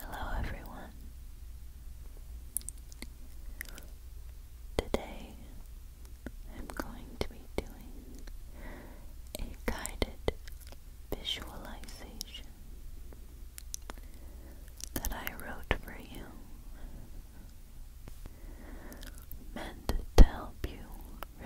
Hello everyone. Today I'm going to be doing a guided visualization that I wrote for you meant to help you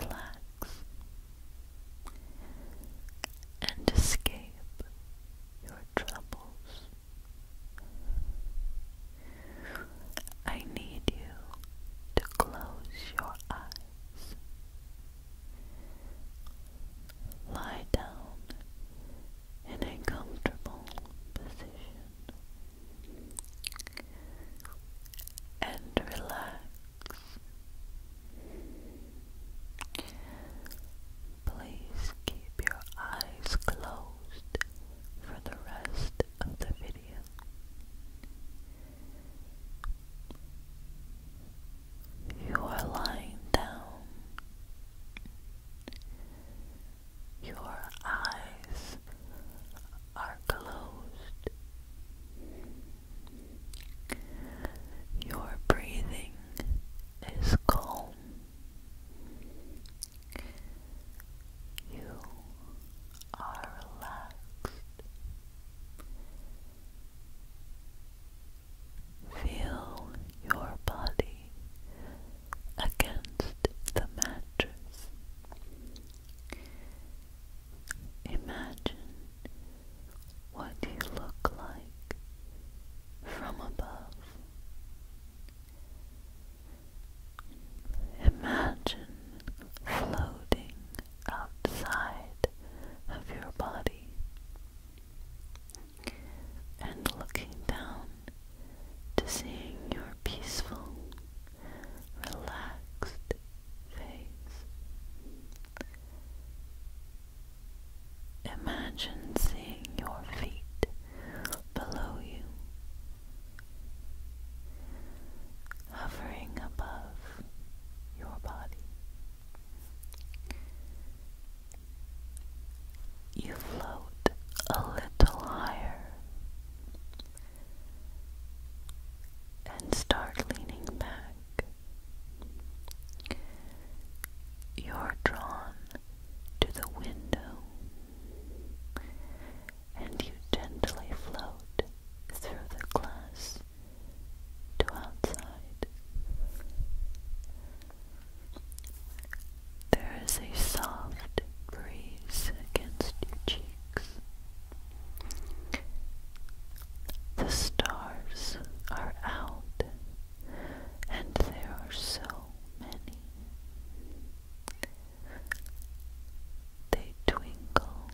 relax and escape your troubles. I need you to close your eyes. Lie down in a comfortable position and relax Please keep your eyes closed for the rest of the video. You are lying down. Your eyes are closed. Your breathing is calm. You are relaxed. Feel your body against the mattress. Imagine what do you look like from above. Imagine floating outside of your body and looking down to seeing your peaceful, relaxed face. Imagine seeing your feet below you, hovering above your body. You float a little higher and start leaning back. You're drawn to the window, and you gently float through the glass to outside. There is a soft breeze against your cheeks. The stars are out, and there are so many. They twinkle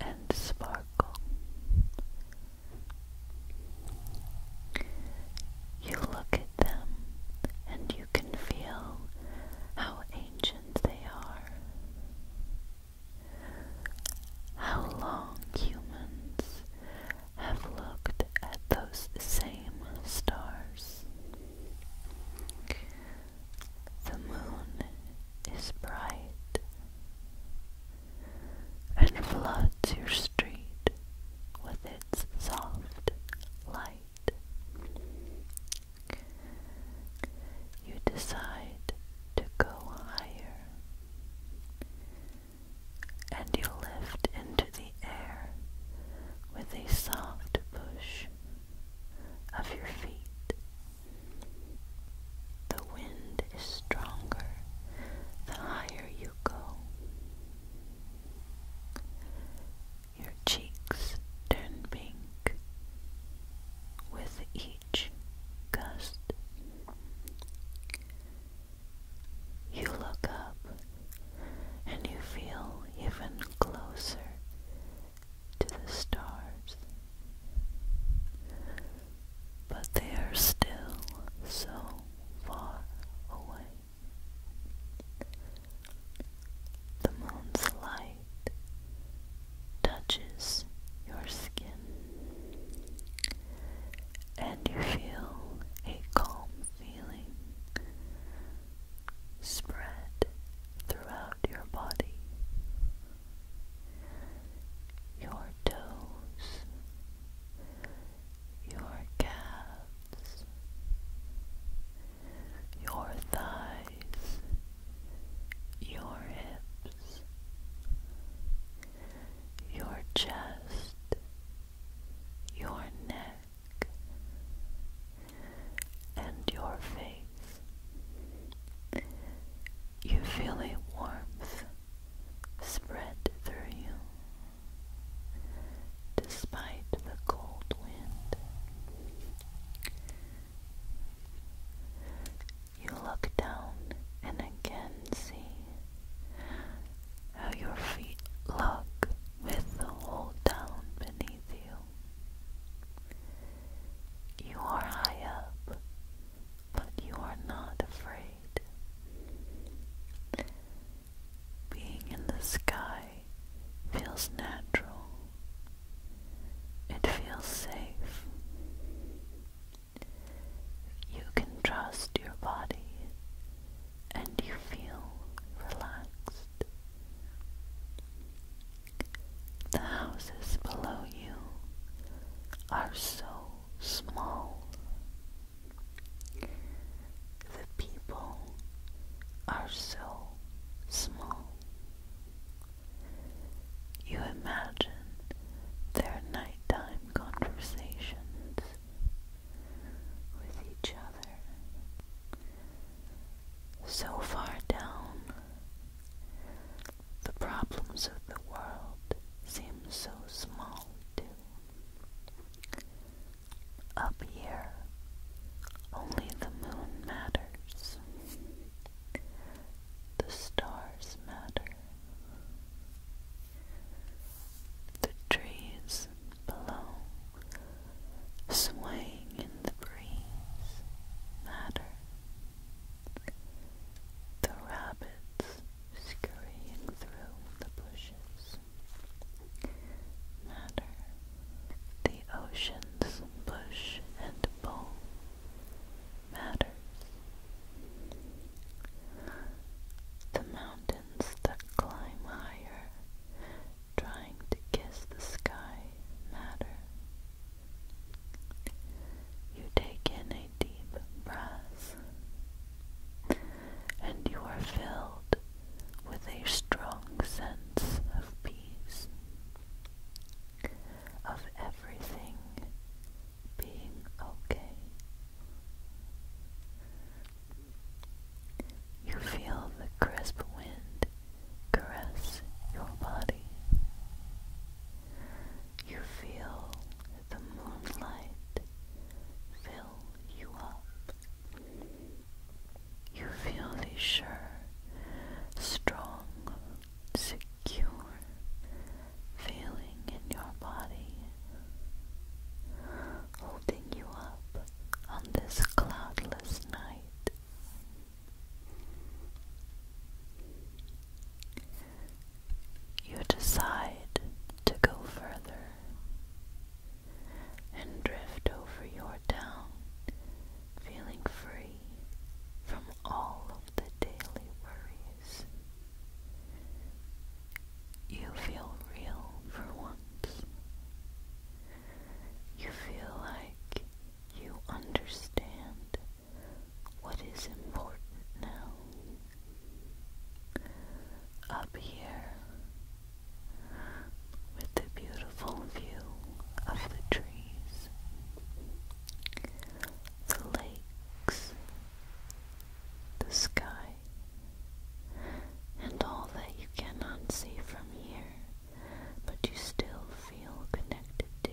and sparkle. You look at them and you can feel how ancient they are. How long humans have looked at those same stars. The moon is bright and floods your street with its soft light. You decide to go higher and you lift into the air with a soft push of your feet. The wind is stronger the higher you go. Your cheeks turn pink with each Gust. You look up and you feel even closer to the stars, but they are still so far away. The moon's light touches your skin and you feel a calm feeling spread throughout your body. Your toes, your calves, your thighs, your hips, your chest, your neck, and your face. You feel a warmth spread through you. Despite the cold wind, you look down and again see how your feet lock with the whole down beneath you. You are high up, but you are not afraid. Being in the sky feels natural. It feels safe. You can trust your body and you feel relaxed. The houses below you are so small. The people are so small. You imagine their nighttime conversations with each other. So far down, the problems of the world seem so small, too. Up here, only the moon matters. The stars matter. The trees below, swaying in the breeze, matter. The rabbits scurrying through the bushes matter. The ocean's bush, and pull matters. The mountains that climb higher, trying to kiss the sky, matter. You take in a deep breath, and you are filled with a strong sense of peace, of everything being okay. You feel the crisp wind caress your body. You feel the moonlight fill you up. You feel the sure, strong, secure feeling in your body holding you up on this cloudless night. You decide to go further and drift over your town, feeling free from all the daily worries. You feel real for once. You feel like you understand what is important now. Up here, with the beautiful view of the trees, the lakes, the sky, and all that you cannot see from here, but you still feel connected to.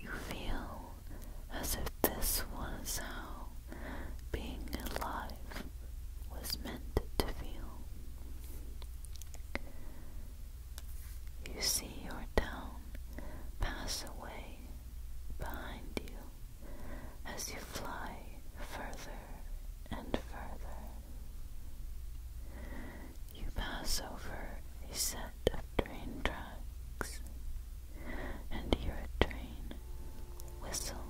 You feel as if this was how being alive was meant to feel. You see your town pass away behind you as you fly further and further. You pass over a set of train tracks and hear a train whistle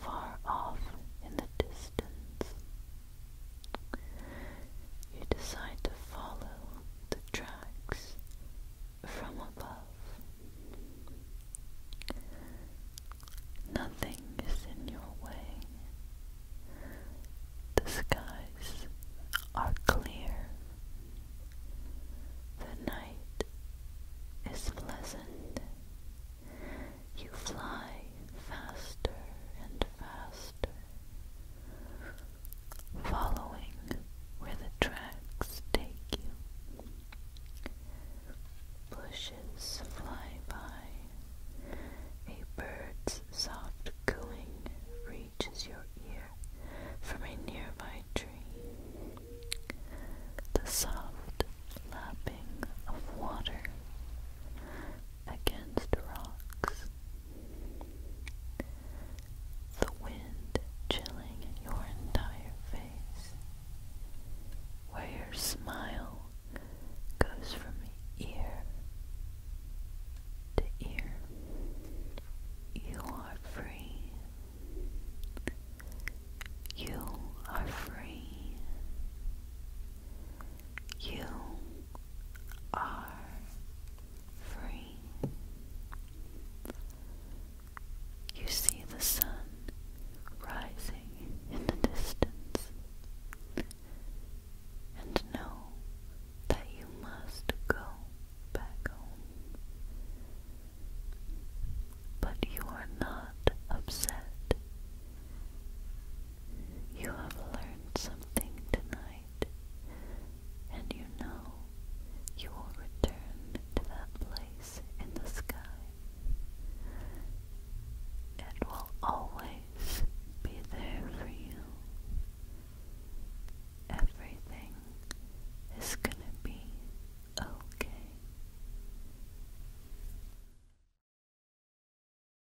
far off in the distance. You decide to follow the tracks from above. Nothing is in your way. The skies are clear. The night is pleasant. You fly faster and faster following where the tracks take you. Bushes fly by. A bird's soft cooing reaches your ear from a nearby tree. The soft lapping of water against rocks. The wind chilling your entire face, where your smile goes from ear to ear. You are free. You are free. You are free. You see the sun rising in the distance and know that you must go back home. But you are not upset. You have learned something tonight, and you know you will return to that place in the sky. It will always be there for you. Everything is going to be okay.